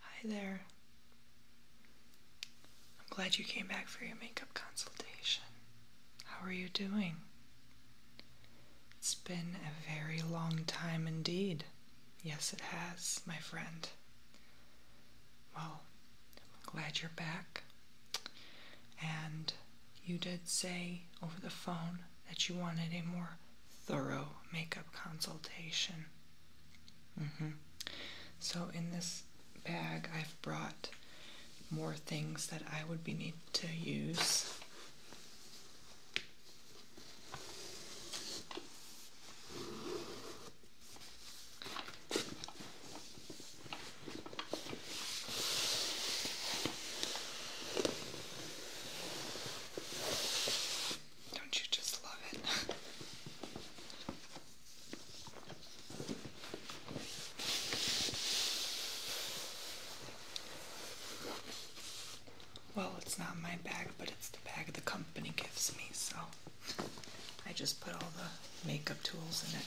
Hi there. I'm glad you came back for your makeup consultation. How are you doing? It's been a very long time indeed. Yes, it has, my friend. Well, I'm glad you're back. And you did say over the phone that you wanted a more thorough makeup consultation. Mm-hmm. So, in this bag, I've brought more things that I would be need to use. Don't you just love it? well, it's not my bag, but it's the bag the company gives me, so I just put all the makeup tools in it.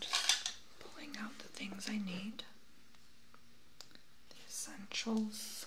Just pulling out the things I need, the essentials.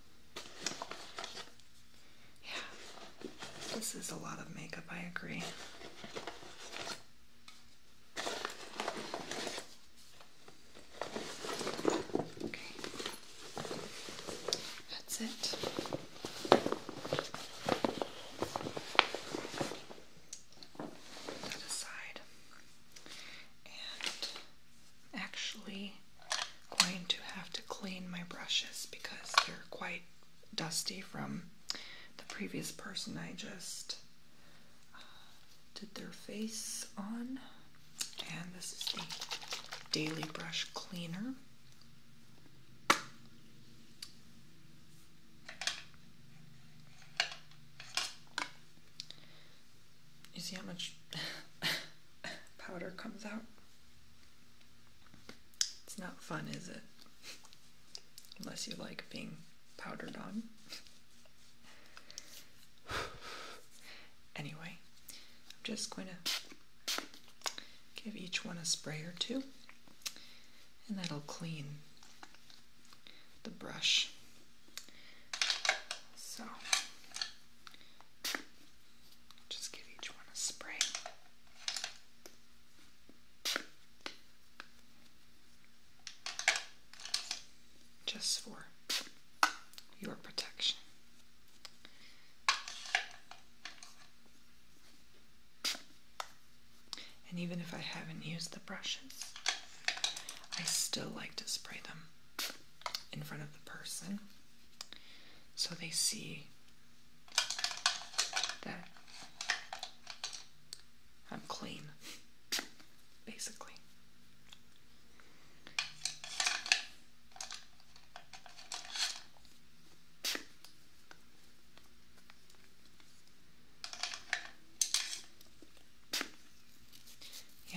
Yeah, this is a lot of makeup, I agree. Okay, that's it. Put that aside. And actually, going to have to clean my brushes because they're quite dusty from the previous person I just uh, did their face on. And this is the Daily Brush Cleaner. You see how much powder comes out? It's not fun, is it? Unless you like being powdered on. anyway, I'm just going to give each one a spray or two, and that'll clean the brush. So, just give each one a spray. Just for your protection. And even if I haven't used the brushes, I still like to spray them in front of the person so they see there. I'm clean, basically.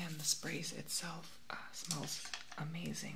and the sprays itself uh, smells amazing.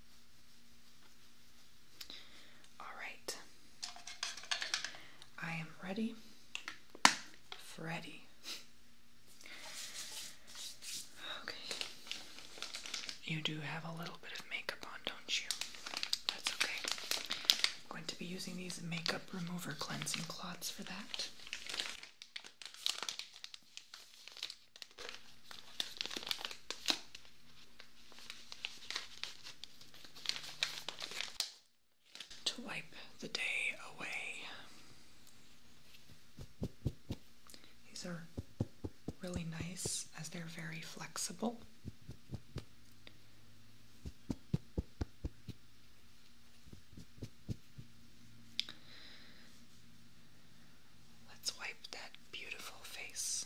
All right. I am ready. Freddy. Okay. You do have a little bit of makeup on, don't you? That's okay. I'm going to be using these makeup remover cleansing cloths for that. To wipe the day away. These are really nice as they're very flexible. Let's wipe that beautiful face.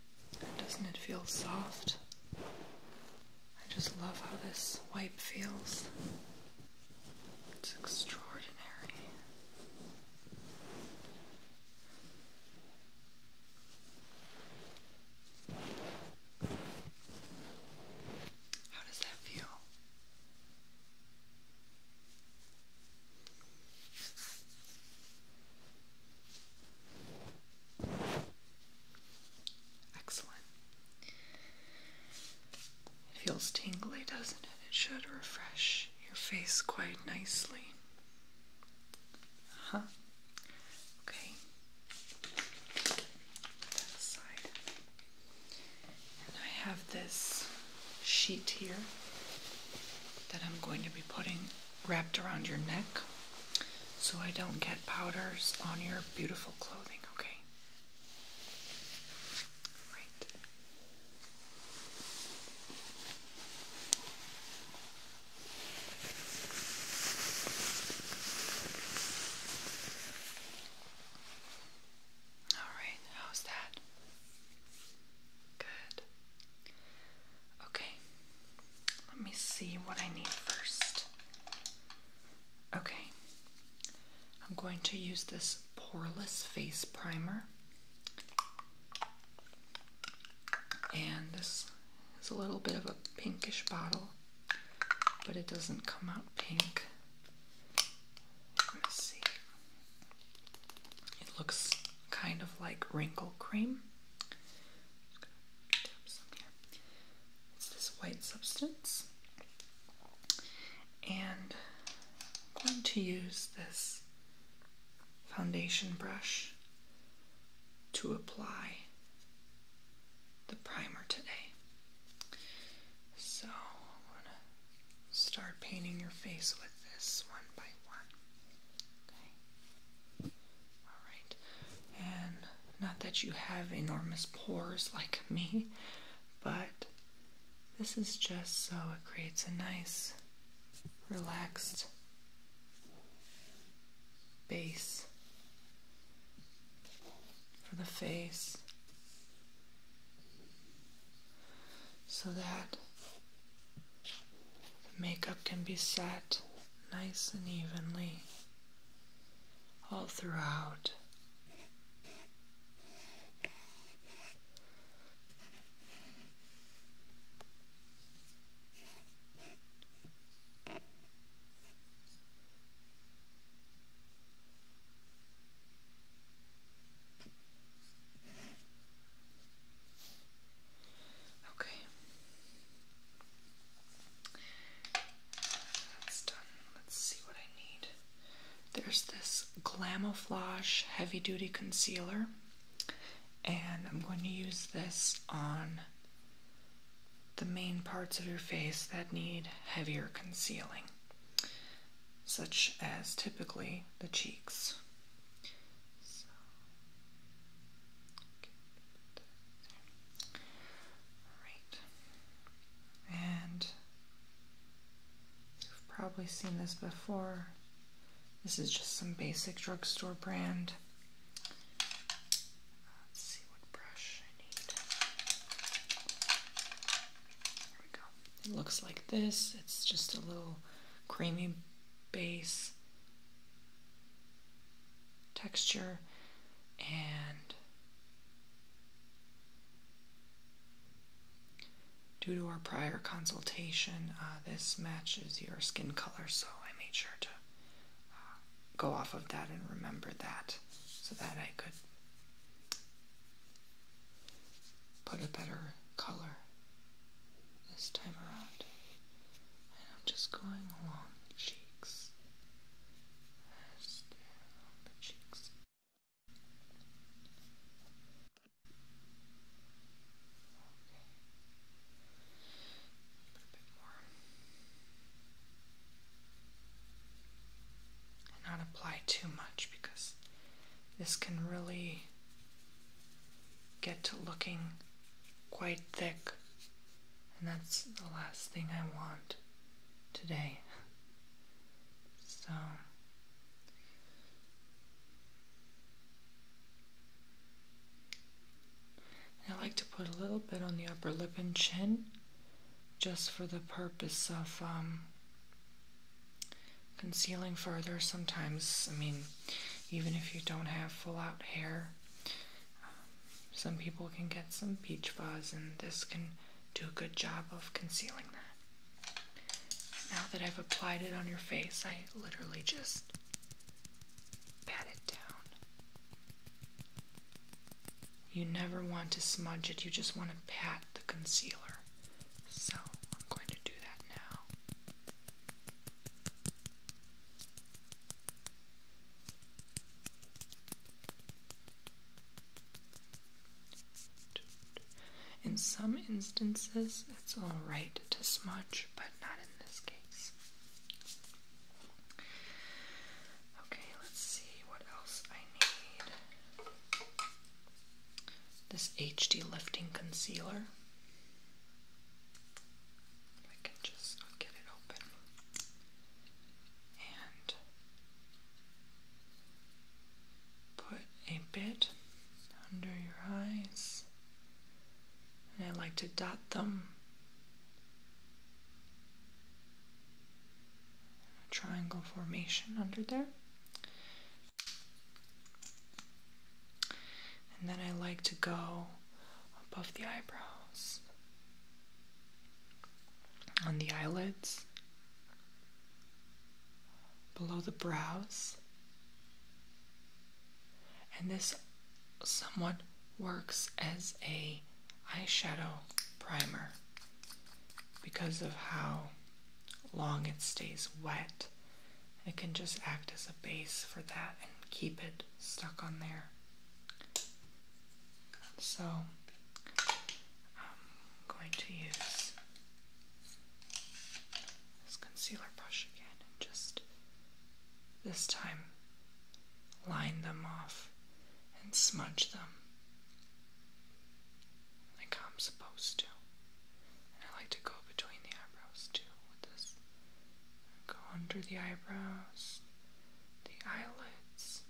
Doesn't it feel soft? I just love how this wipe feels. It's extraordinary. How does that feel? Excellent. It feels tingly, doesn't it? It should refresh your face quite nicely. Uh huh. Okay. Put that aside. And I have this sheet here that I'm going to be putting wrapped around your neck so I don't get powders on your beautiful clothing, okay? All right, how's that? Good. Okay, let me see what I need first. Okay, I'm going to use this poreless face primer. And this is a little bit of a pinkish bottle, but it doesn't come out pink. Let me see. It looks kind of like wrinkle cream. It's this white substance, and I'm going to use this foundation brush to apply the primer today. So I'm gonna start painting your face with this one by one. All right. And not that you have enormous pores like me, but this is just so it creates a nice, relaxed base for the face so that the makeup can be set nice and evenly all throughout. Okay. That's done. Let's see what I need. There's this Glamouflage Heavy Duty Concealer, and I'm going to use this on the main parts of your face that need heavier concealing, such as typically the cheeks. All right. And you've probably seen this before. This is just some basic drugstore brand. see what brush I need. Here we go. It looks like this. It's just a little creamy base texture and due to our prior consultation uh, this matches your skin color so I made sure to uh, go off of that and remember that so that I could put a better color this time around. And I'm just going along the cheeks. Just the cheeks. a bit more. And not apply too much because this can really get to looking quite thick, and that's the last thing I want today. So, I like to put a little bit on the upper lip and chin just for the purpose of um, concealing further. Sometimes, I mean, even if you don't have full out hair. Um, some people can get some peach fuzz, and this can do a good job of concealing that. Now that I've applied it on your face, I literally just pat it down. You never want to smudge it, you just want to pat the concealer. So I'm going to do that now. In some instances, it's all right to smudge, but not in this case. Okay, let's see what else I need. This HD Lifting Concealer. I can just get it open and put a bit under your eyes. And I like to dot them. triangle formation under there. And then I like to go above the eyebrows, on the eyelids, below the brows. And this somewhat works as a eyeshadow primer because of how long it stays wet it can just act as a base for that and keep it stuck on there. So I'm going to use this concealer brush again and just this time line them off and smudge them like I'm supposed to. I like to go between the eyebrows too with this Go under the eyebrows, the eyelids,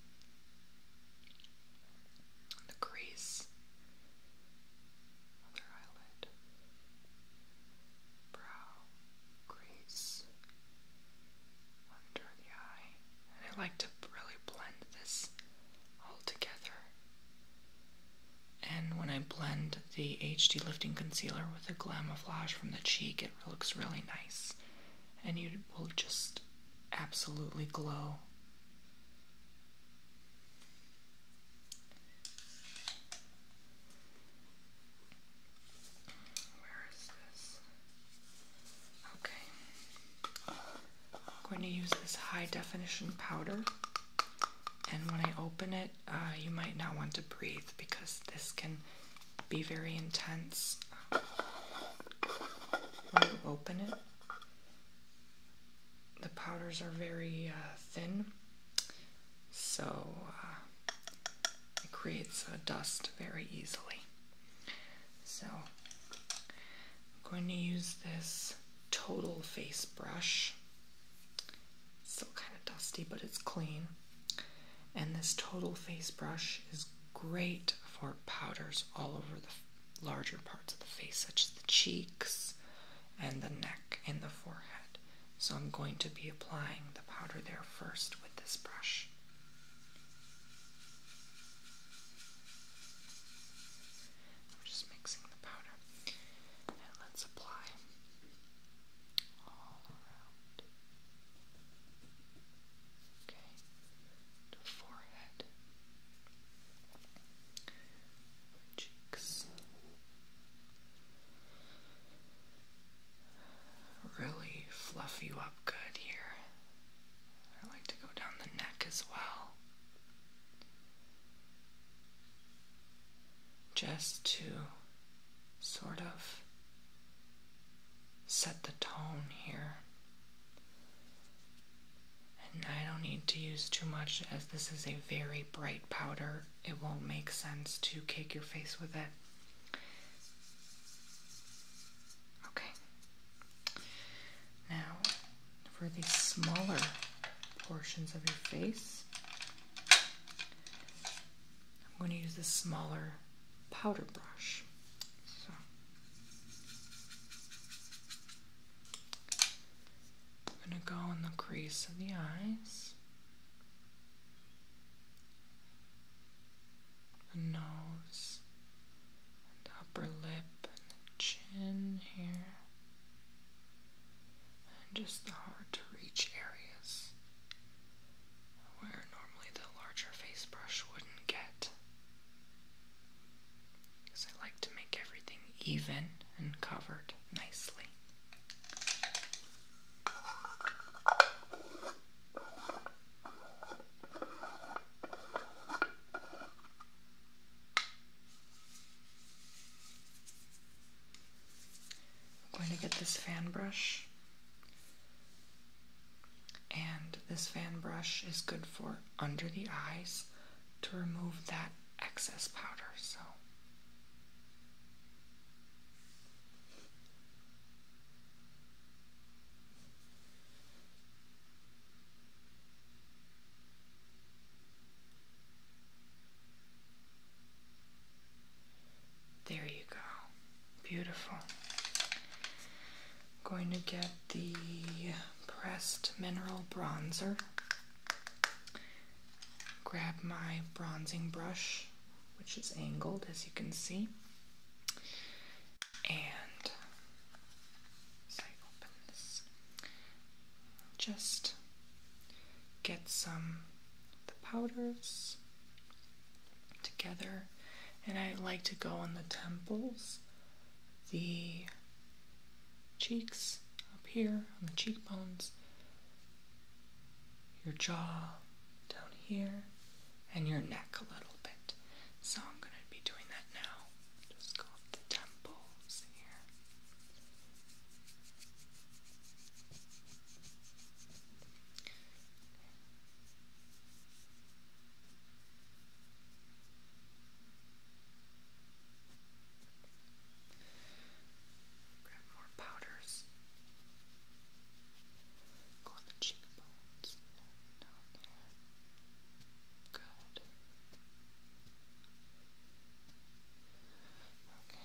the crease, other eyelid, brow, crease, under the eye. And I like to really blend this all together. And when I blend the HD Lifting Concealer with the Glamouflage from the cheek, it looks really nice. And you will just absolutely glow. Where is this? Okay. I'm going to use this high definition powder. And when I open it, uh, you might not want to breathe because this can be very intense when you open it. The powders are very uh, thin, so uh, it creates a dust very easily. So I'm going to use this total face brush Still kind of dusty, but it's clean. And this Total Face Brush is great for powders all over the larger parts of the face, such as the cheeks and the neck and the forehead. So I'm going to be applying the powder there first with this brush. We're just mixing the powder and let's apply all around. Okay, forehead, cheeks. Really fluff you up good here. I like to go down the neck as well just to sort of set the tone here. And I don't need to use too much as this is a very bright powder. It won't make sense to cake your face with it. Okay. Now, for the smaller portions of your face, I'm going to use this smaller powder brush. I'm going to go in the crease of the eyes, the nose, the upper lip, and the chin here and just the hard to reach areas where normally the larger face brush wouldn't get. Because I like to make everything even and covered nicely. I'm going to get this fan brush. And this fan brush is good for under the eyes to remove that excess powder. So there you go. Beautiful. Going to get the pressed mineral bronzer. Grab my bronzing brush, which is angled as you can see. And just get some the powders together and I like to go on the temples, the cheeks up here, on the cheekbones, your jaw down here, and your neck a little bit. So I'm going to be doing that now. Just go up the temples here. Grab more powders. Go on the cheekbones. Good. Okay.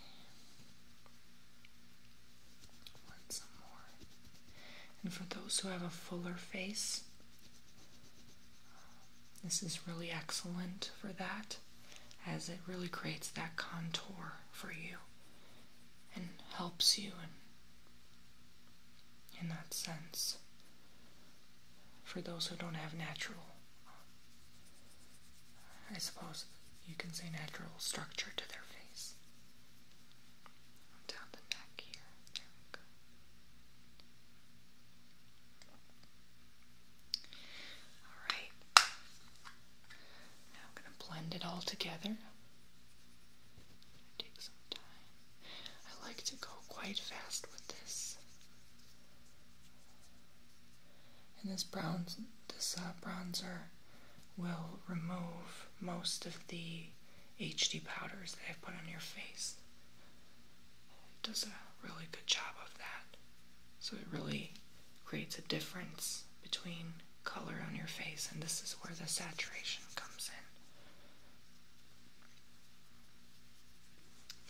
Want some more. And for those who have a fuller face, this is really excellent for that as it really creates that contour for you and helps you in, in that sense for those who don't have natural I suppose you can say natural structure to their face. Down the neck here. There we go. Alright. Now I'm going to blend it all together. Take some time. I like to go quite fast with this and this bronze, this uh, bronzer will remove most of the HD powders that I've put on your face. It does a really good job of that. So it really creates a difference between color on your face and this is where the saturation comes in.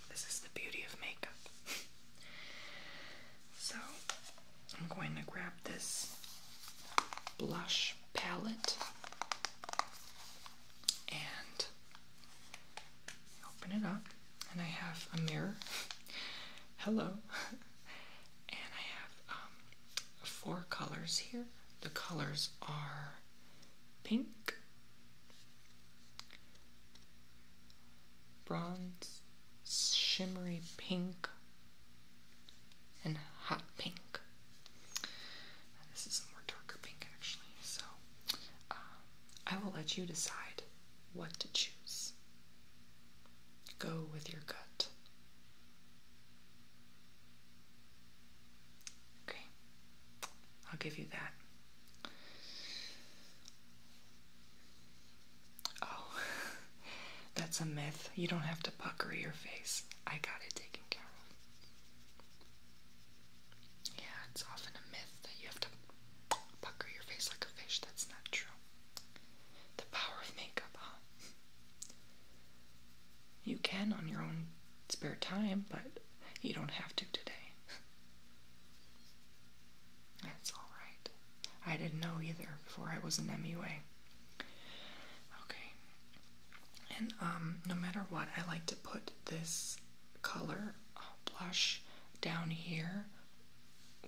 This is the beauty of makeup. So I'm going to grab this blush palette and open it up. And I have a mirror. Hello. and I have um, four colors here. The colors are pink, bronze, shimmery pink, and hot pink. This is more darker pink actually, so uh, I will let you decide what to choose. Go with your gut. Okay, I'll give you that. Oh, that's a myth. You don't have to pucker your face. I got it taken care of. Yeah, it's often a myth that you have to pucker your face like a fish. That's not true. The power of makeup, You can on your own spare time, but you don't have to today. That's alright. I didn't know either before I was in MUA. Okay. And um, no matter what, I like to put this color uh, blush down here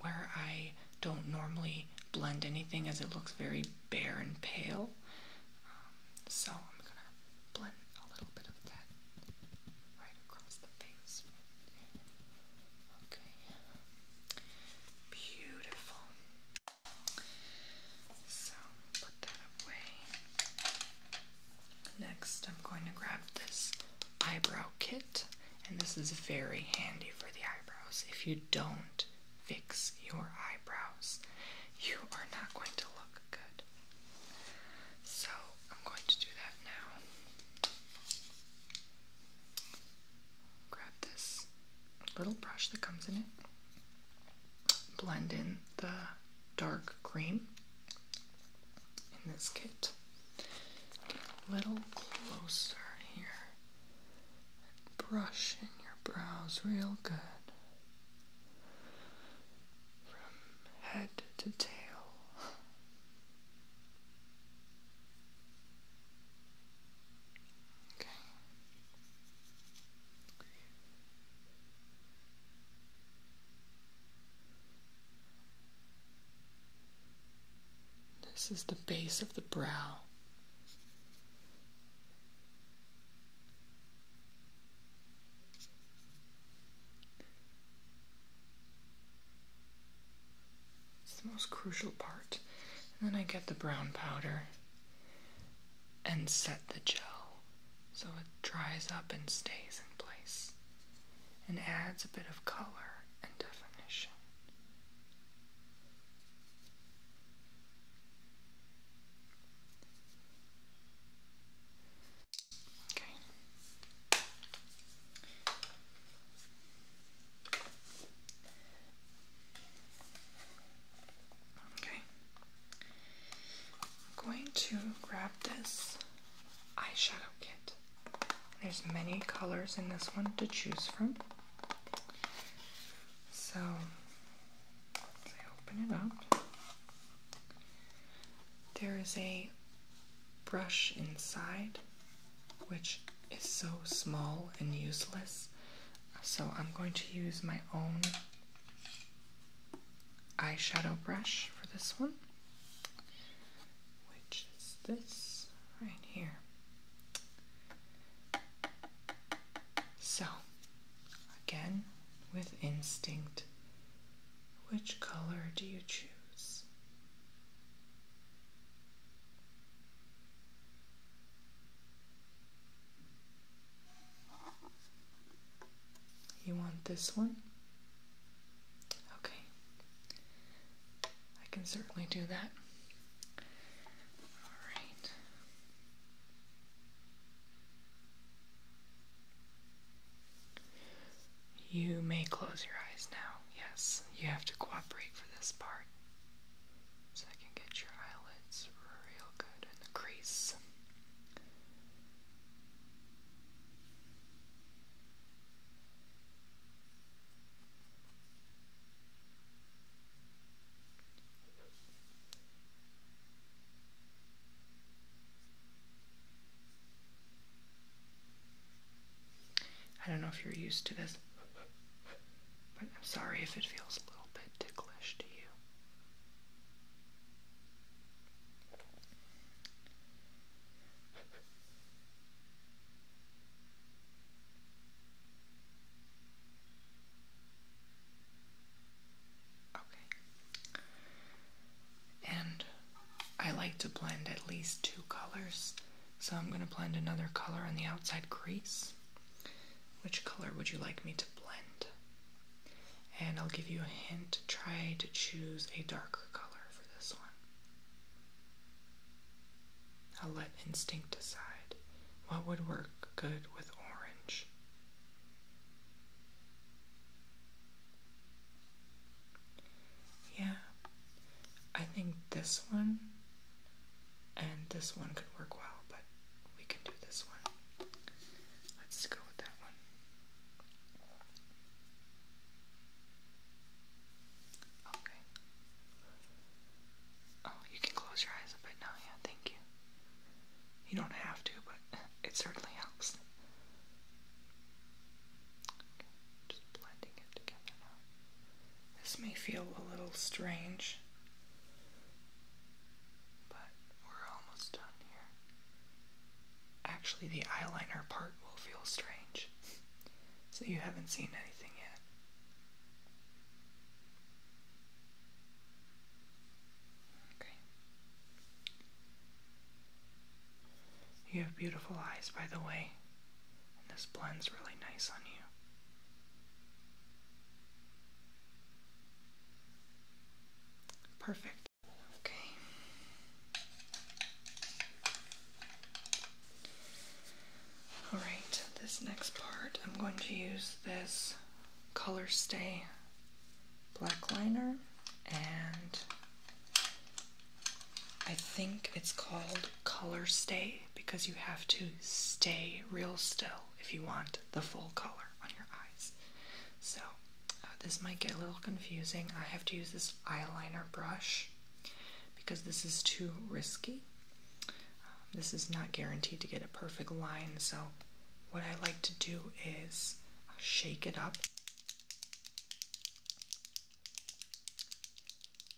where I don't normally blend anything as it looks very bare and pale. Um, so I'm going to blend a little bit of that right across the face. Okay. Beautiful. So, put that away. Next, I'm going to grab this eyebrow kit, and this is very handy for the eyebrows. If you don't fix your eyebrows, you are not going to look good. So, I'm going to do that now grab this little brush that comes in it, blend in the dark cream in this kit. Get a little closer here. Brush in your brows real good. From head to tail. This is the base of the brow. It's the most crucial part. And then I get the brown powder and set the gel so it dries up and stays in place and adds a bit of color and definition. Okay. Okay. I'm going to grab this eyeshadow kit. There's many colors in this one to choose from. So, as I open it up, there is a brush inside, which is so small and useless. So I'm going to use my own eyeshadow brush for this one, which is this right here. So, again, with instinct, which color do you choose? You want this one? Okay. I can certainly do that. All right. You may close your eyes now. Yes, you have to cooperate for this part. So I can get your eyelids real good in the crease. I don't know if you're used to this, but I'm sorry if it feels a little bit ticklish to you. Okay. And I like to blend at least two colors, so I'm going to blend another color on the outside crease. Which color would you like me to blend? And I'll give you a hint try to choose a darker color for this one. I'll let instinct decide what would work good with orange. Yeah, I think this one and this one could work well, but we can do this one. Let's go with that one. Okay. Oh, you can close your eyes a bit now, yeah, thank you. You don't have to, but it certainly helps. This may feel a little strange, but we're almost done here. Actually, the eyeliner part will feel strange, so you haven't seen anything yet. Okay. You have beautiful eyes, by the way, and this blends really nice on you. Perfect. Okay. Alright, this next part, I'm going to use this Color Stay black liner and I think it's called color stay because you have to stay real still if you want the full color on your eyes. So, uh, this might get a little confusing. I have to use this eyeliner brush because this is too risky. Um, this is not guaranteed to get a perfect line, so what I like to do is uh, shake it up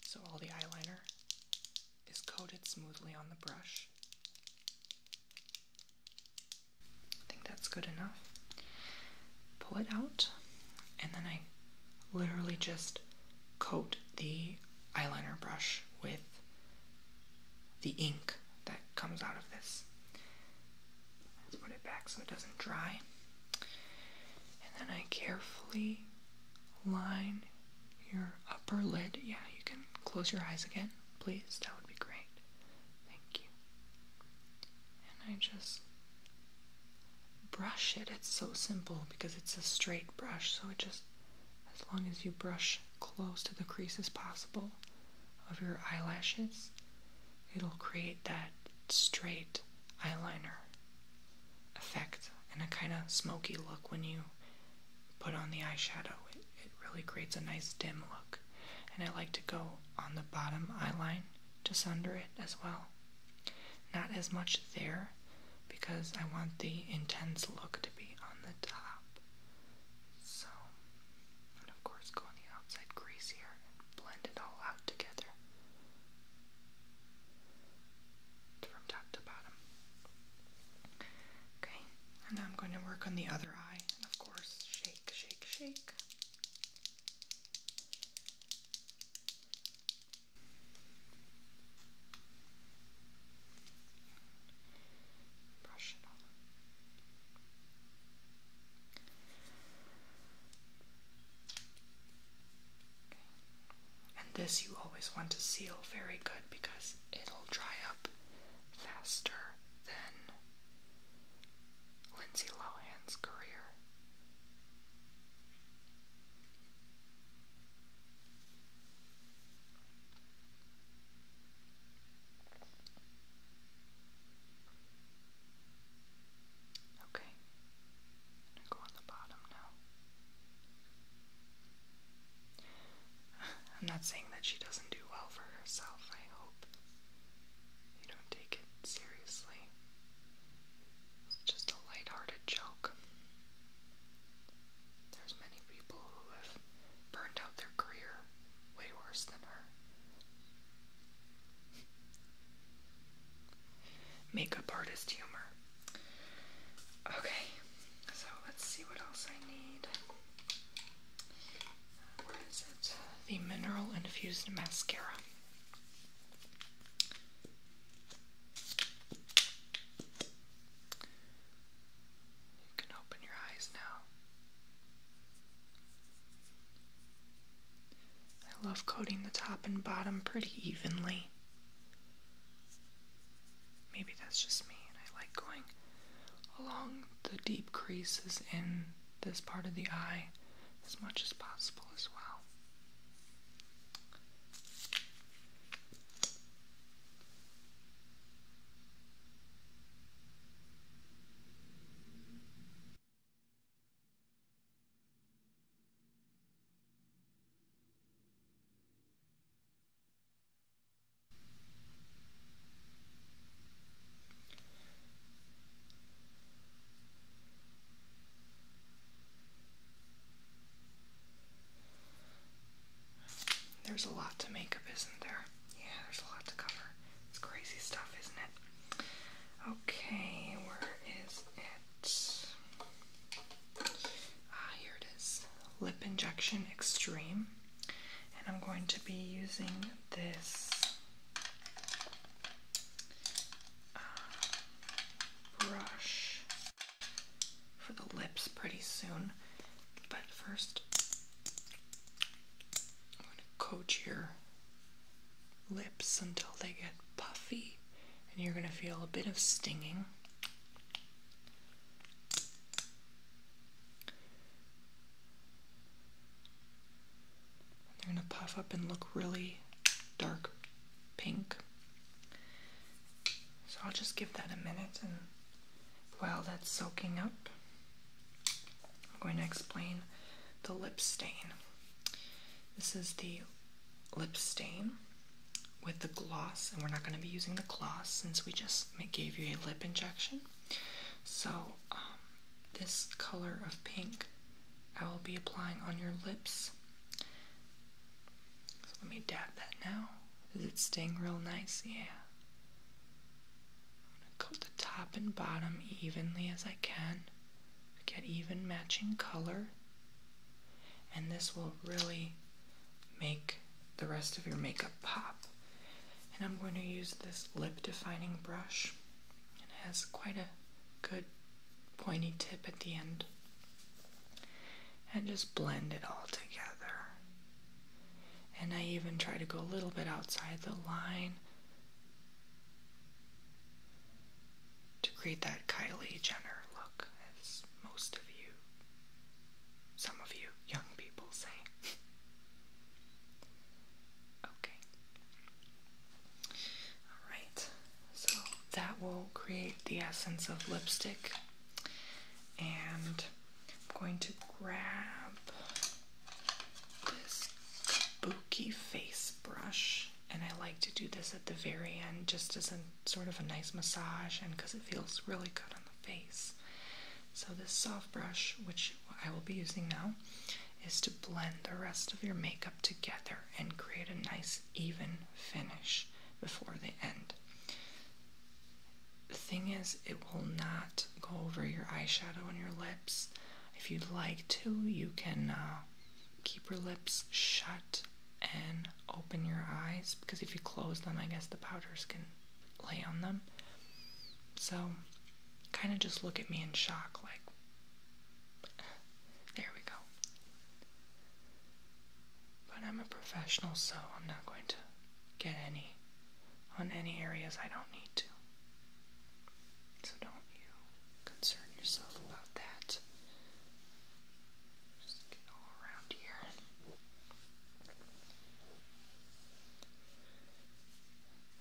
so all the eyeliner is coated smoothly on the brush. I think that's good enough. Pull it out, and then I literally just coat the eyeliner brush with the ink that comes out of this. Let's put it back so it doesn't dry. And then I carefully line your upper lid. Yeah, you can close your eyes again, please. That would be great. Thank you. And I just brush it. It's so simple because it's a straight brush, so it just, as long as you brush close to the creases possible of your eyelashes, it'll create that straight eyeliner effect and a kind of smoky look when you put on the eyeshadow. It, really creates a nice dim look. And I like to go on the bottom eyeline just under it as well. Not as much there because I want the intense look to be on the top. So, and of course, go on the outside crease here and blend it all out together from top to bottom. Okay, and now I'm going to work on the other eye, and of course, shake, shake, shake. Brush it all. And this you always want to seal very good because it'll dry up faster than Lindsay Lohan's career. Okay. I'm go on the bottom now. I'm not saying that she doesn't do well for herself, I hope. You don't take it seriously. just a lighthearted joke. There's many people who have burned out their career way worse than her. Makeup artist humor. Okay, so let's see what else I need. Where is it? The Mineral Infused Mascara. You can open your eyes now. I love coating the top and bottom pretty evenly. Maybe that's just me, and I like going along the deep creases in this part of the eye as much as possible as well. There's a lot to make up, isn't there? Yeah, there's a lot to cover. It's crazy stuff, isn't it? Okay, where is it? Ah, here it is Lip Injection Extreme. And I'm going to be using this uh, brush for the lips pretty soon. But first, I'm going to coat your lips until they get puffy, and you're going to feel a bit of stinging. They're going to puff up and look really dark pink. So I'll just give that a minute, and while that's soaking up, I'm going to explain the lip stain. This is the lip stain with the gloss, and we're not going to be using the gloss since we just gave you a lip injection. So, um, this color of pink I will be applying on your lips. let me dab that now. Is it staying real nice? Yeah. I'm going to coat the top and bottom evenly as I can. Get even matching color. And this will really make the rest of your makeup pop. And I'm going to use this lip defining brush. It has quite a good pointy tip at the end. And just blend it all together. And I even try to go a little bit outside the line to create that Kylie Jenner look, as most of you, some of you young people say. okay. Alright, so that will create the essence of lipstick, and I'm going to grab this kaboom silky face brush, and I like to do this at the very end just as a sort of a nice massage and because it feels really good on the face. So, this soft brush, which I will be using now, is to blend the rest of your makeup together and create a nice, even finish before the end. The thing is, it will not go over your eyeshadow and your lips. If you'd like to, you can uh, keep your lips shut and open your eyes because if you close them, I guess the powders can lay on them. So, kind of just look at me in shock, like, there we go. But I'm a professional, so I'm not going to get any on any areas I don't need to. So don't you concern yourself about that. Just get all around here.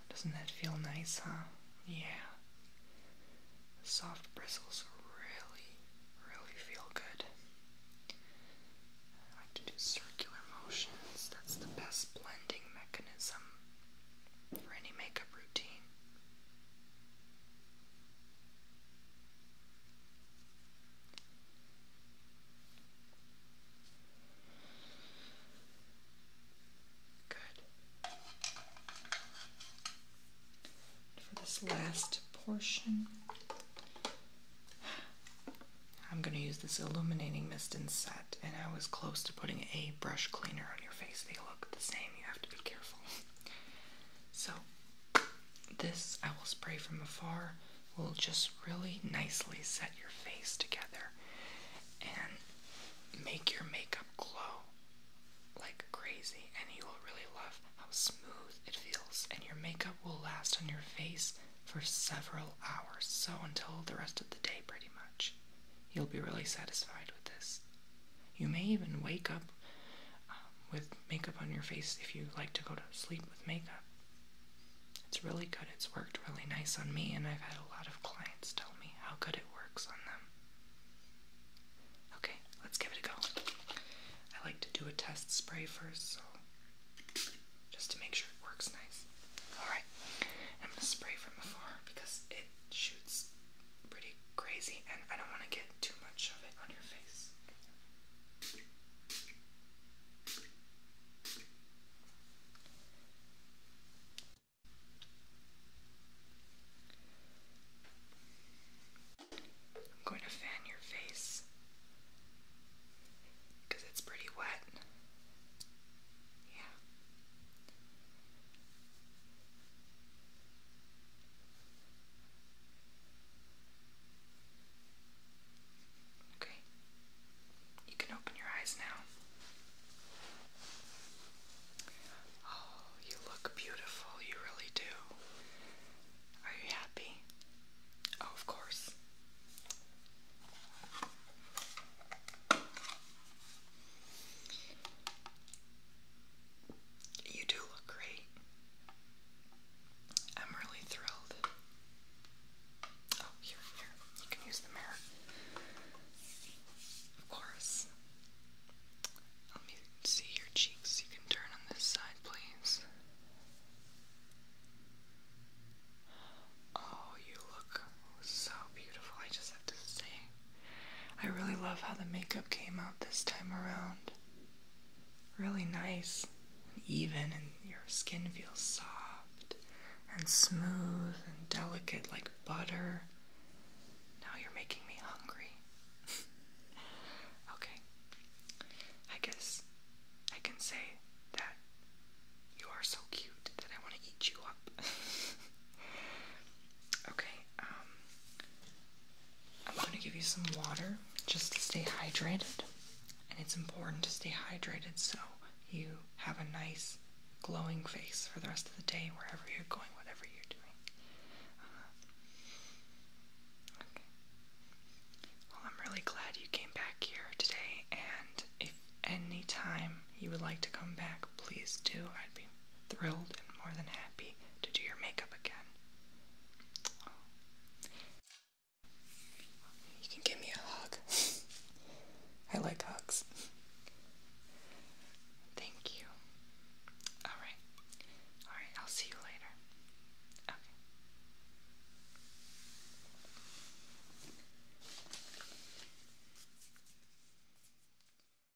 Doesn't that feel nice, huh? Yeah. soft bristles really, really feel good. I like to do circular motions. That's the best blending mechanism for any makeup routine. Good. For this last portion, I'm going to use this illuminating mist and set, and I was close to putting a brush cleaner on your face. They look the same. You have to be careful. So, this I will spray from afar, will just really nicely set your face together and make your makeup glow like crazy. And you will really love how smooth it feels. And your makeup will last on your face for several hours, so until the rest of the day, pretty much. You'll be really satisfied with this. You may even wake up um, with makeup on your face if you like to go to sleep with makeup. It's really good. It's worked really nice on me, and I've had a lot of clients tell me how good it works on them. Okay, let's give it a go. I like to do a test spray first, so just to make sure it works nice. Alright, I'm gonna spray from afar because it shoots pretty crazy, and I don't want to get too much of it on your face. I'm going to fan your face because it's pretty wet. Yeah. Okay. You can open your eyes now. Oh, you look beautiful. You really do. Are you happy? Oh, of course. You do look great. I'm really thrilled. Oh, here, here. You can use the mirror. Of course. Let me see your cheeks. You can turn on this side, please. Oh, you look so beautiful. I just have to say. I really love how the makeup came out this time around. Really nice and even, and your skin feels soft and smooth and delicate like butter. Now you're making me hungry. okay, I guess I can say that you are so cute that I want to eat you up. okay, um, I'm going to give you some water just to stay hydrated. And it's important to stay hydrated so you have a nice glowing face for the rest of the day, wherever you're going, whatever you're doing. Uh-huh. Well, I'm really glad you came back here today, and if any time you would like to come back, please do. I'd be thrilled and more than happy to do your makeup again. You can give me a hug. I like hugs. Thank you. Alright. Alright, I'll see you later. Okay.